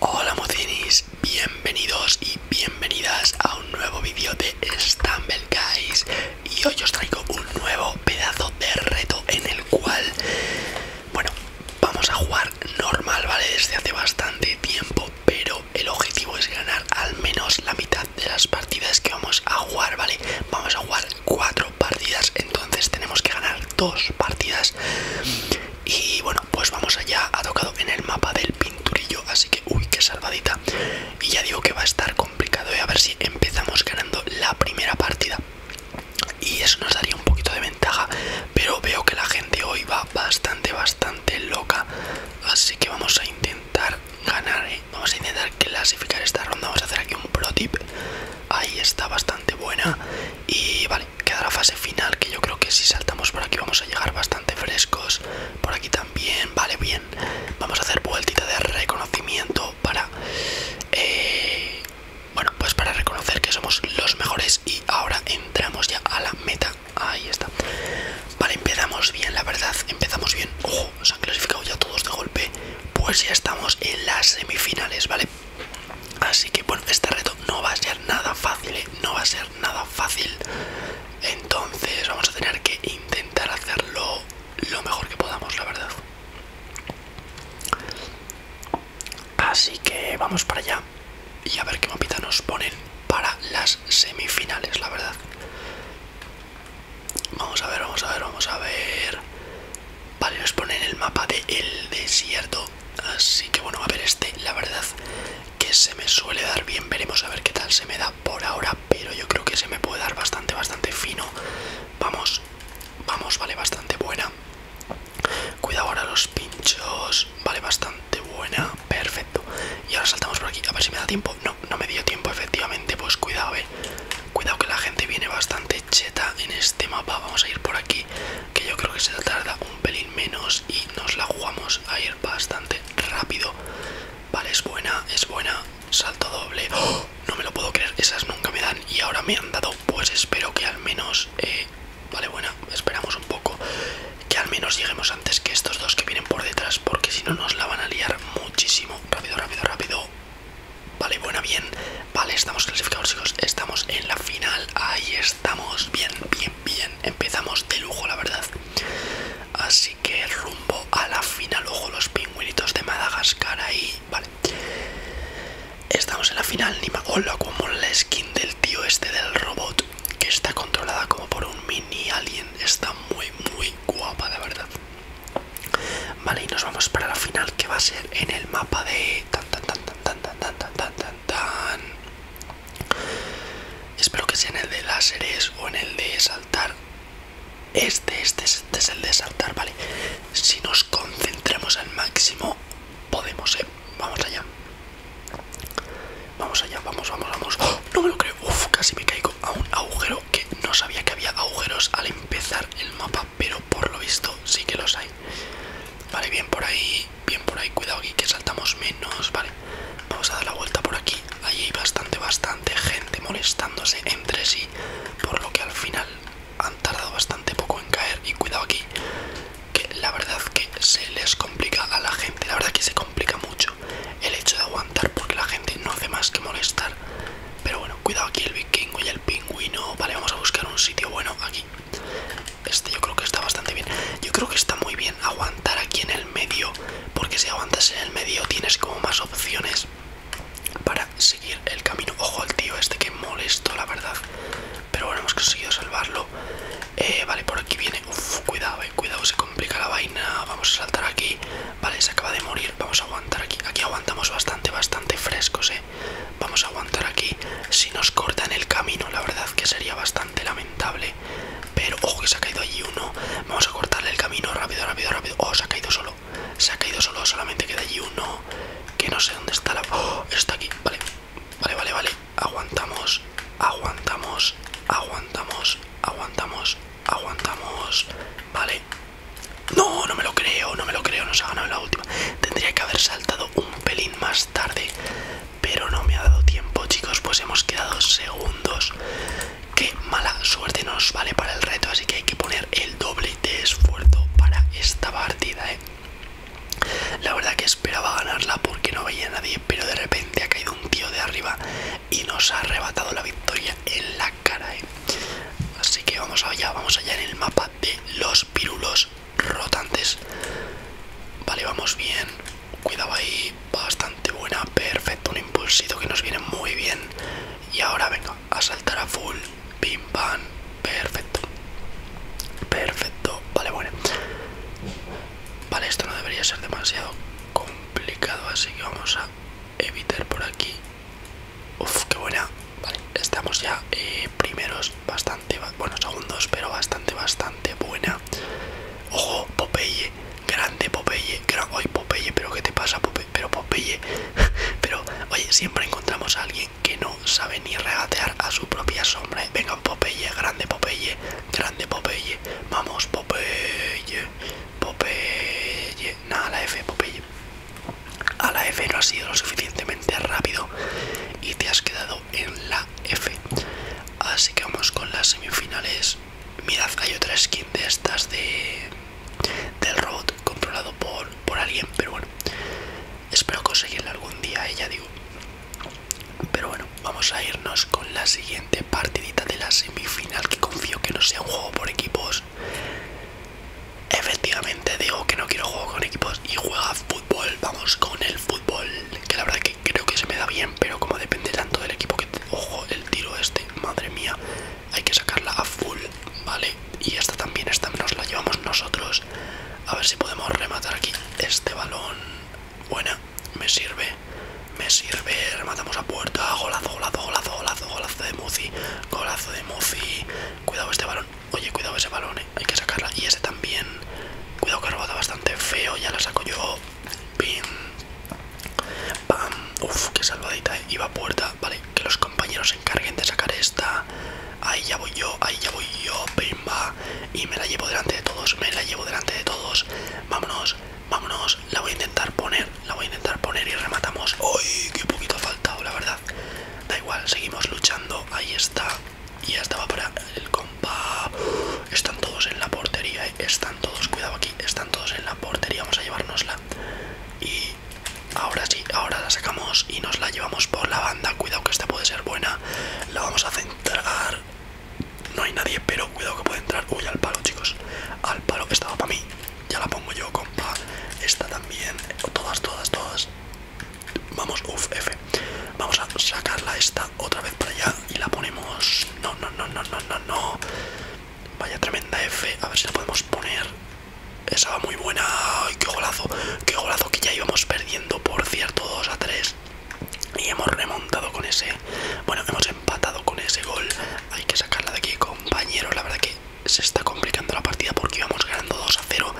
Hola mocinis, bienvenidos y bienvenidas a un nuevo vídeo de Stumble Guys y hoy os traigo un nuevo pedazo de reto en el cual, bueno, vamos a jugar normal, ¿vale? Desde hace bastante tiempo, pero el objetivo es ganar al menos la mitad de las partidas que vamos a jugar, ¿vale? Vamos a jugar cuatro partidas, entonces tenemos que ganar dos partidas y bueno, pues vamos allá, ha tocado en el mapa del pinturillo, así que uy, que salvadita. Y ya digo que va a estar complicado y ¿eh? a ver si empezamos ganando la primera partida. Y eso nos daría un poquito de ventaja, pero veo que la gente hoy va bastante, bastante loca. Así que vamos a intentar ganar, ¿eh? vamos a intentar clasificar esta ronda, vamos a hacer aquí un pro tip. Ahí está bastante buena. Y vale, queda la fase final que yo creo que si saltamos por aquí vamos a llegar bastante frescos por aquí también vale bien vamos a hacer vueltita de reconocimiento para eh, bueno pues para reconocer que somos los mejores y ahora entramos ya a la meta ahí está vale empezamos bien la verdad empezamos bien ojo nos han clasificado ya todos de golpe pues ya estamos en las semifinales vale Así que bueno, este reto no va a ser nada fácil, ¿eh? no va a ser nada fácil. Entonces vamos a tener que intentar hacerlo lo mejor que podamos, la verdad. Así que vamos para allá y a ver qué mapita nos ponen para las semifinales, la verdad. Vamos a ver, vamos a ver, vamos a ver. Vale, pone en el mapa del el desierto. Así que bueno, a ver este, la verdad que se me suele dar bien. Veremos a ver qué tal se me da por ahora. Pero yo creo que se me puede dar bastante, bastante fino. Vamos, vamos, vale, bastante buena. Cuidado ahora los pinchos. Vale, bastante buena. Perfecto. Y ahora saltamos por aquí. A ver si me da tiempo. No, no me dio tiempo, efectivamente. Pues cuidado, ver Cuidado que la gente viene bastante Cheta en este mapa Vamos a ir por aquí Que yo creo que se tarda un pelín menos Y nos la jugamos a ir bastante rápido Vale, es buena, es buena Salto doble ¡Oh! No me lo puedo creer, esas nunca me dan Y ahora me han dado, pues espero que al menos eh, Vale, buena, esperamos un poco Que al menos lleguemos antes que estos dos que vienen por detrás Porque si no nos la van a liar muchísimo Rápido, rápido, rápido Vale, buena, bien. Vale, estamos clasificados, chicos. Estamos en la final. Ahí estamos. Bien, bien, bien. Empezamos de lujo, la verdad. Así que rumbo a la final. Ojo, los pingüinitos de Madagascar ahí. Vale. Estamos en la final. Ni Hola, como la skin del tío este del robot. Que está controlada como por un mini alien. Está muy, muy guapa, la verdad. Vale, y nos vamos para la final que va a ser en el mapa de tan tan tan tan tan tan tan tan tan tan. Espero que sea en el de láseres o en el de saltar. Este, este, este es el de saltar, vale. Si nos concentramos al máximo, podemos, eh. Vamos allá. Vamos allá, vamos, vamos, vamos. ¡Oh! No me lo creo. uff, casi me caigo a un agujero que no sabía que había agujeros al empezar el mapa pero por lo visto sí que los hay. Vale, bien por ahí, bien por ahí, cuidado aquí que saltamos menos, vale. Vamos a dar la vuelta por aquí. Allí hay bastante, bastante gente molestándose entre sí, por lo que al final han tardado bastante poco en caer. Y cuidado aquí, que la verdad que se les complica a la gente, la verdad que se complica mucho el hecho de aguantar porque la gente no hace más que molestar. Pero bueno, cuidado aquí el Kingo y el pingüino. Vale, vamos a buscar un sitio bueno aquí. Este yo creo que está bastante bien. Yo creo que está muy bien aguantar aquí en el medio. Porque si aguantas en el medio tienes como más opciones para seguir el camino. Ojo al tío este que molesto, la verdad. Pero bueno, hemos conseguido salvarlo. Eh, vale, por aquí viene. Uf, cuidado, eh, cuidado, se complica la vaina. Vamos a saltar aquí. Vale, se acaba de morir. Vamos a aguantar aquí. Aquí aguantamos bastante, bastante frescos, eh. Vamos a aguantar aquí. Si nos cortan el camino, la verdad que sería bastante lamentable. Pero, ojo, que se ha caído allí uno. Vamos a cortarle el camino rápido, rápido, rápido. Oh, se ha caído solo. Se ha caído solo. Solamente queda allí uno. Que no sé dónde está la. Oh, está aquí. Vale, vale, vale, vale. Aguantamos, aguantamos, aguantamos, aguantamos. Aguantamos, vale. No, no me lo creo, no me lo creo, nos ha ganado la última. Tendría que haber saltado un pelín más tarde, pero no me ha dado tiempo, chicos, pues hemos quedado segundos. Qué mala suerte nos vale para el reto, así que hay que poner el doble de esfuerzo para esta partida, ¿eh? La verdad que esperaba ganarla porque no veía a nadie, pero de repente ha caído un tío de arriba y nos ha arrebatado la victoria en la cara, ¿eh? Así que vamos allá, vamos allá en el mapa de los pirulos rotantes. Vale, vamos bien. Cuidado ahí, bastante buena, perfecto, un impulsito que nos viene muy bien. Y ahora venga, a saltar a full, pim pam, perfecto. Perfecto, vale, bueno. Vale, esto no debería ser demasiado complicado, así que vamos a evitar por aquí uff, qué buena Vale, estamos ya eh, primeros Bastante, bueno, segundos Pero bastante, bastante buena Ojo, Popeye Grande Popeye, grande, oye Popeye Pero qué te pasa Popeye, pero Popeye Pero, oye, siempre encontramos a alguien Que no sabe ni regatear a su propia sombra ¿eh? Venga Popeye, grande Popeye Grande Popeye, vamos Popeye Popeye. a la F, Popeye. A la F no ha sido lo suficientemente rápido y te has quedado en la F. Así que vamos con las semifinales. Mirad, hay otra skin de estas de del robot controlado por, por alguien, pero bueno. Espero conseguirla algún día, ella eh, digo. Pero bueno, vamos a irnos con la siguiente partidita de las mi final que confío que no sea un juego por equipos. Efectivamente digo que no quiero juego con equipos y juega fútbol, vamos con el fútbol, que la verdad que creo que se me da bien, pero como depende tanto del equipo que... Ojo, el tiro este, madre mía, hay que sacarla a full, ¿vale? Y esta también, esta nos la llevamos nosotros. A ver si podemos rematar aquí este balón. Buena, me sirve. Me sirve, rematamos a puerta, golazo, golazo, golazo, golazo, golazo de Muzi, golazo de Muzi. Cuidado este balón, oye, cuidado ese balón, eh, hay que sacarla. Y ese también, cuidado que robado bastante feo, ya la saco yo. Pim, pam, uff, qué salvadita, eh. iba a puerta. Vale, que los compañeros se encarguen de sacar esta. Ahí ya voy yo, ahí ya voy yo, pimba. Y me la llevo delante de todos, me la llevo delante de todos. Vámonos. Vámonos, la voy a intentar poner, la voy a intentar poner y rematamos. ¡Uy! Qué poquito ha faltado, la verdad. Da igual, seguimos luchando. Ahí está. Y ya estaba para el compa. Están todos en la portería, eh. Están todos, cuidado aquí, están todos en la portería. Vamos a llevárnosla. Y ahora sí, ahora la sacamos y nos la llevamos por la banda. Cuidado que esta puede ser buena. La vamos a centrar. No hay nadie, pero cuidado que puede entrar. Uy, al palo, chicos. Al palo que estaba para mí. Ya la pongo yo, compa. Esta también. Todas, todas, todas. Vamos, uff, F. Vamos a sacarla esta otra vez para allá y la ponemos. No, no, no, no, no, no, no. Vaya tremenda F. A ver si la podemos poner. Esa va muy buena. ¡Ay, qué golazo! ¡Qué golazo! Que ya íbamos perdiendo, por cierto, 2 a 3 y hemos remontado con ese bueno hemos empatado con ese gol hay que sacarla de aquí compañero la verdad que se está complicando la partida porque íbamos ganando 2 a 0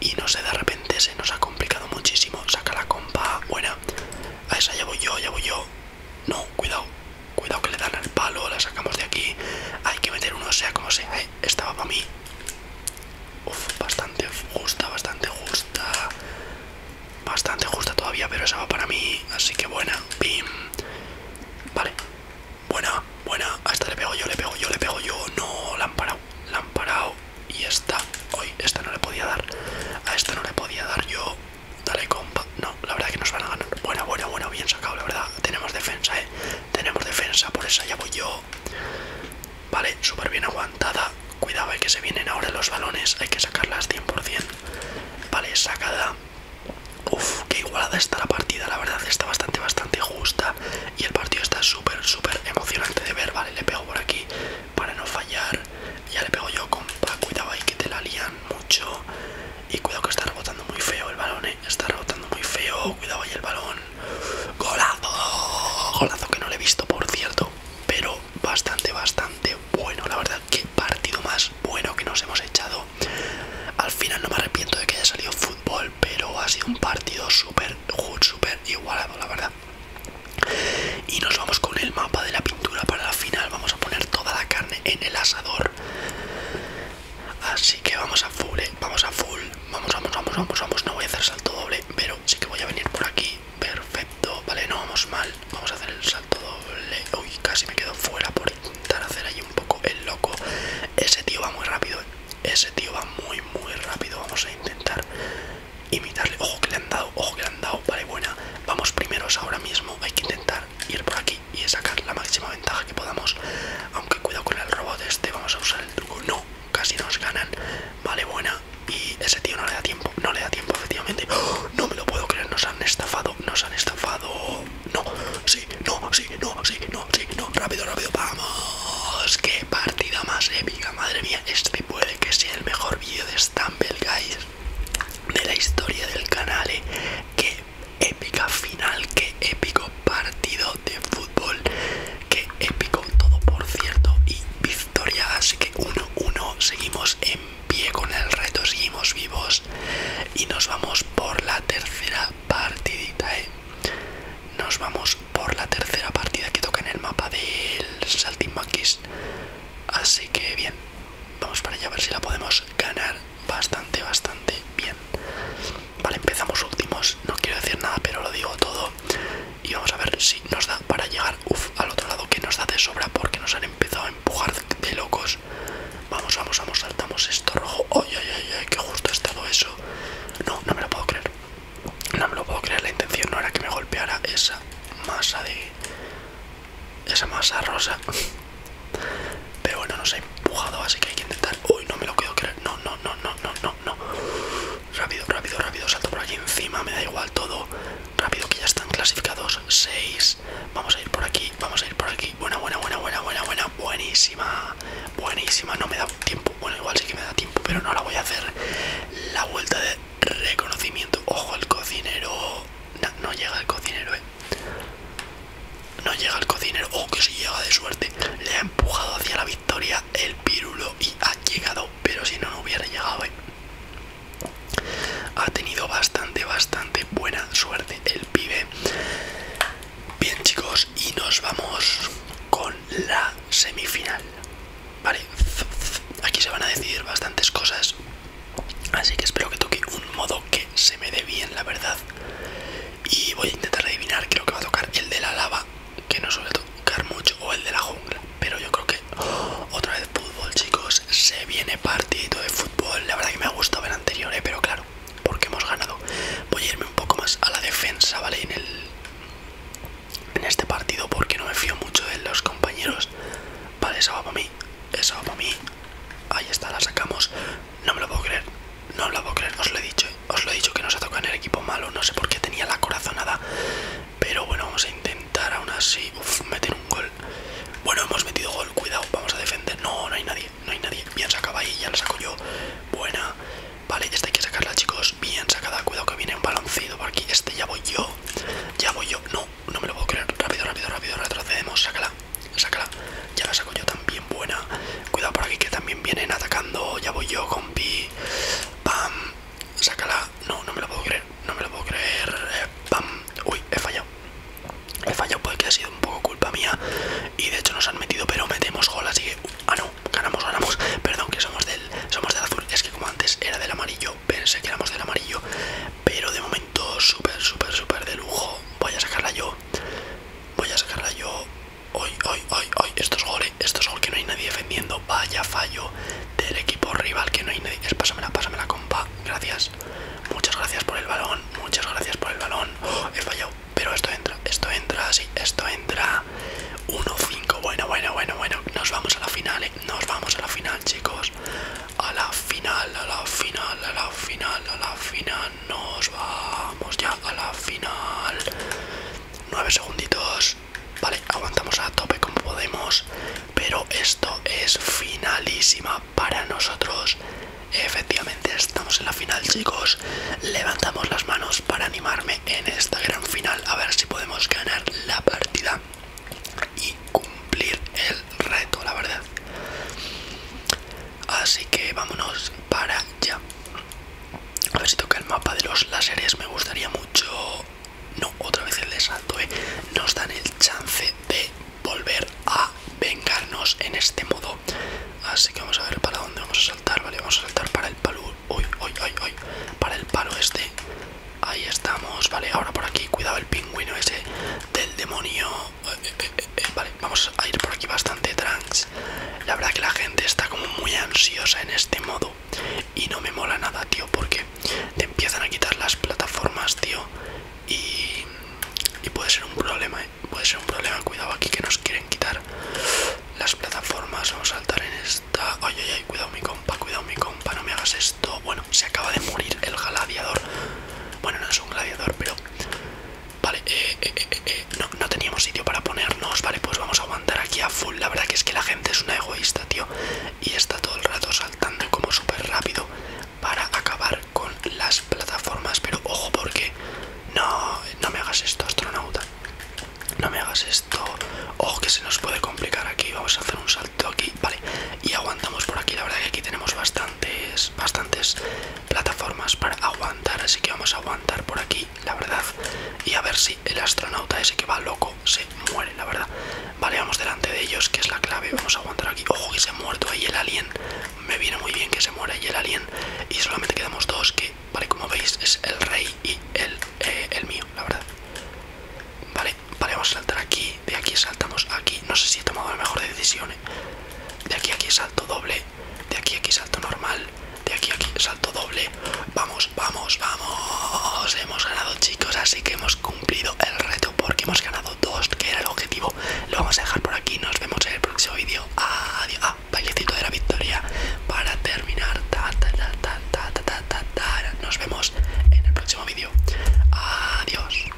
y no sé de repente se nos ha complicado muchísimo saca la compa buena a esa ya voy yo ya voy yo no cuidado cuidado que le dan al palo la sacamos de aquí hay que meter uno sea como sea eh, estaba para mí Uf, bastante justa, bastante justa. Bastante justa todavía, pero esa va para mí, así que buena. pim Vale. Buena, buena. A esta le pego yo, le pego yo, le pego yo. No, la han parado, la han parado. Y esta, hoy, esta no le podía dar. A esta no le podía dar yo. Dale, compa. No, la verdad que nos van a ganar. Buena, buena, buena. Bien sacado, la verdad. Tenemos defensa, eh. Tenemos defensa, por esa ya voy yo. Vale, súper bien aguantada. Cuidado, hay que se vienen ahora los balones. Hay que sacarlas 100%. Vale, sacada. Uf, qué igualada está la partida. La verdad está bastante, bastante justa. Y el partido está súper, súper emocionante de ver. Vale, le pego por aquí para no fallar. Ya le pego yo, compa. Cuidado ahí que te la lían mucho. Y cuidado que está rebotando muy feo el balón, eh. Está rebotando muy feo. Cuidado ahí el balón. Golazo. Golazo que no le he visto, por cierto. Pero bastante, bastante bueno, la verdad que partido más bueno que nos hemos echado. Al final no me arrepiento de que haya salido fútbol, pero ha sido un partido súper, súper igualado, la verdad. Y nos vamos con el mapa de la pintura para la final. Vamos a poner toda la carne en el asador. Así que vamos a full, eh, vamos a full. Vamos, vamos, vamos, vamos, vamos. No voy a hacer salto doble, pero sí que voy a venir por aquí. Perfecto, vale, no vamos mal. Vamos a hacer el salto doble. Uy, casi me quedo fuera por intentar hacer ahí un poco el loco. Ese tío va muy rápido, eh. ese tío va muy, muy rápido. Vamos a intentar imitarle. Ojo que le han dado, ojo que le han dado. Vale, buena. Vamos primeros ahora mismo. Hay que intentar ir por aquí y sacar la máxima ventaja que podamos. Aunque cuidado con el robot este, vamos a usar el truco. No, casi nos ganan. Vale, buena y ese tío no le da tiempo, no le da tiempo efectivamente. No me lo puedo creer, nos han estafado, nos han estafado. No, sí, no, sí, no, sí, no, sí, no. Rápido, rápido, vamos. Qué partida más épica, madre mía. Este puede que sea el mejor vídeo de Stumble Guys de la historia del canal. Que eh. Qué épica final, qué épico partido de fútbol, qué épico todo por cierto y así que 1-1, seguimos en pie con el reto, seguimos vivos y nos vamos por la tercera partidita, ¿eh? Nos vamos por la tercera partida que toca en el mapa del Saltimax así que bien, vamos para allá a ver si la podemos ganar bastante, bastante bien. Vale, empezamos últimos, no quiero decir nada, pero lo digo todo y vamos a ver si nos da para llegar al otro lado que nos da de sobra porque nos han empezado a empujar de locos vamos vamos vamos saltamos esto rojo ay ay ay, ay que justo ha estado eso no no me lo puedo creer no me lo puedo creer la intención no era que me golpeara esa masa de esa masa rosa pero bueno nos ha empujado así que hay que intentar uy no me lo puedo creer no no no no no no no, Rápido, rápido, rápido. Salto por aquí encima, me da igual todo. Rápido, que ya están clasificados. 6. Vamos a ir por aquí, vamos a ir por aquí. Buena, buena, buena, buena, buena, buena. Buenísima. Buenísima. No me da tiempo. Bueno, igual sí que me da tiempo, pero no la voy a hacer. La vuelta de reconocimiento. Ojo, el cocinero. No, llega el cocinero, eh. No llega el cocinero. Oh, que si llega de suerte. Le ha empujado hacia la victoria el pirulo y ha llegado, pero si no, no hubiera llegado. ¿eh? Ha tenido bastante, bastante buena suerte el pibe. Bien, chicos, y nos vamos con la semifinal. Vale, aquí se van a decidir bastantes cosas. Así que espero que toque un modo que se me dé bien, la verdad. Y voy a intentar adivinar, creo que va a tocar el de la lava que no suele tocar mucho o el de la jungla pero yo creo que oh, otra vez fútbol chicos se viene partido de fútbol la verdad que me ha gustado ver anterior ¿eh? pero claro porque hemos ganado voy a irme un poco más a la defensa vale en el en este partido porque no me fío mucho de los compañeros vale eso va para mí eso va para mí ahí está la sacamos no me lo puedo creer no lo puedo creer, os lo he dicho, os lo he dicho que nos ha tocado en el equipo malo, no sé por qué tenía la corazonada. Pero bueno, vamos a intentar aún así uf, meter un gol. Bueno, hemos metido gol, cuidado, vamos a defender. No, no hay nadie, no hay nadie. Bien sacada ahí, ya la saco yo. Buena. Vale, esta hay que sacarla, chicos. Bien sacada, cuidado que viene un baloncito por aquí. Este ya voy yo. Ya voy yo. No, no me lo puedo creer. Rápido, rápido, rápido, retrocedemos. Sácala, sácala. Ya la saco yo también, buena. Cuidado por aquí que también vienen atacando. Ya voy yo Pam. Sácala. No, no me lo puedo creer. No me lo puedo creer. Eh, pam. Uy, he fallado. He fallado porque ha sido un poco culpa mía. Y de hecho nos han metido, pero metemos gol, así que. Ah no, ganamos, ganamos. Perdón que somos del. Somos del azul. Es que como antes era del amarillo. Pensé que éramos del amarillo. Pero de momento, súper, súper, súper de lujo. Voy a sacarla yo. Voy a sacarla yo. Hoy, hoy, hoy, hoy. Esto es gol, eh, Esto es gol que no hay nadie defendiendo. Vaya fallo del equipo rival que no hay nadie. pásamela, pásamela, compa. Gracias. Muchas gracias por el balón. Muchas gracias por el balón. Oh, he fallado. Pero esto entra, esto entra, sí, esto entra. 1-5. Bueno, bueno, bueno, bueno. Nos vamos a la final, eh, Nos vamos a la final, chicos. A la final, a la final, a la final, a la final nos vamos ya a la final. 9 segunditos. Vale, aguantamos a tope como podemos. Pero esto es finalísima para nosotros. Efectivamente, estamos en la final, chicos. Levantamos las manos para animarme en esta gran final. A ver si podemos ganar la partida y cumplir el reto, la verdad. Así que vámonos para allá. A ver si toca el mapa de los láseres. Me gustaría mucho... No, otra vez el de salto, ¿eh? Nos dan el chance de volver a vengarnos en este modo. Así que vamos a ver para dónde vamos a saltar. Vale, vamos a saltar para el palo... Uy, uy, uy, uy. Para el palo este. Ahí estamos. Vale, ahora por aquí. Cuidado el pingüino ese del demonio. Eh, eh, eh, vale, vamos a ir por aquí bastante trans. La verdad que la gente está como muy ansiosa en este modo y no me mola nada, tío, porque te empiezan a quitar las plataformas, tío, y, y puede ser un problema, eh. puede ser un problema. Cuidado aquí que nos quieren quitar las plataformas. Vamos a saltar en esta. Ay, ay, ay, cuidado mi compa, cuidado mi compa, no me hagas esto. Bueno, se acaba de morir el gladiador. Bueno, no es un gladiador, pero Vale, eh, eh, eh, eh, no, no teníamos sitio para ponernos, vale, pues vamos a aguantar aquí a full. La verdad que es que la gente es una egoísta, tío, y está todo el rato saltando como súper rápido para acabar con las plataformas. Pero ojo, porque no, no me hagas esto, astronauta. No me hagas esto. Ojo, que se nos puede complicar aquí. Vamos a hacer un salto aquí, vale, y aguantamos por aquí. La verdad que aquí tenemos bastantes, bastantes plataformas para aguantar, así que vamos a aguantar por aquí, la verdad, y a ver si el astronauta ese que va loco se muere, la verdad. Vale, vamos delante de ellos, que es la clave, vamos a aguantar aquí. Ojo que se ha muerto ahí el alien, me viene muy bien que se muera ahí el alien, y solamente quedamos dos, que, vale, como veis, es el rey y el, eh, el mío, la verdad. Vale, vale, vamos a saltar aquí, de aquí saltamos aquí, no sé si he tomado la mejor decisión, de aquí a aquí salto doble, de aquí a aquí salto normal, de aquí a aquí salto doble. Vamos, vamos, vamos. Hemos ganado chicos, así que hemos cumplido el reto porque hemos ganado dos, que era el objetivo. Lo vamos a dejar por aquí, nos vemos en el próximo vídeo. Adiós. Ah, bailecito de la victoria para terminar. Ta, ta, ta, ta, ta, Nos vemos en el próximo vídeo. Adiós.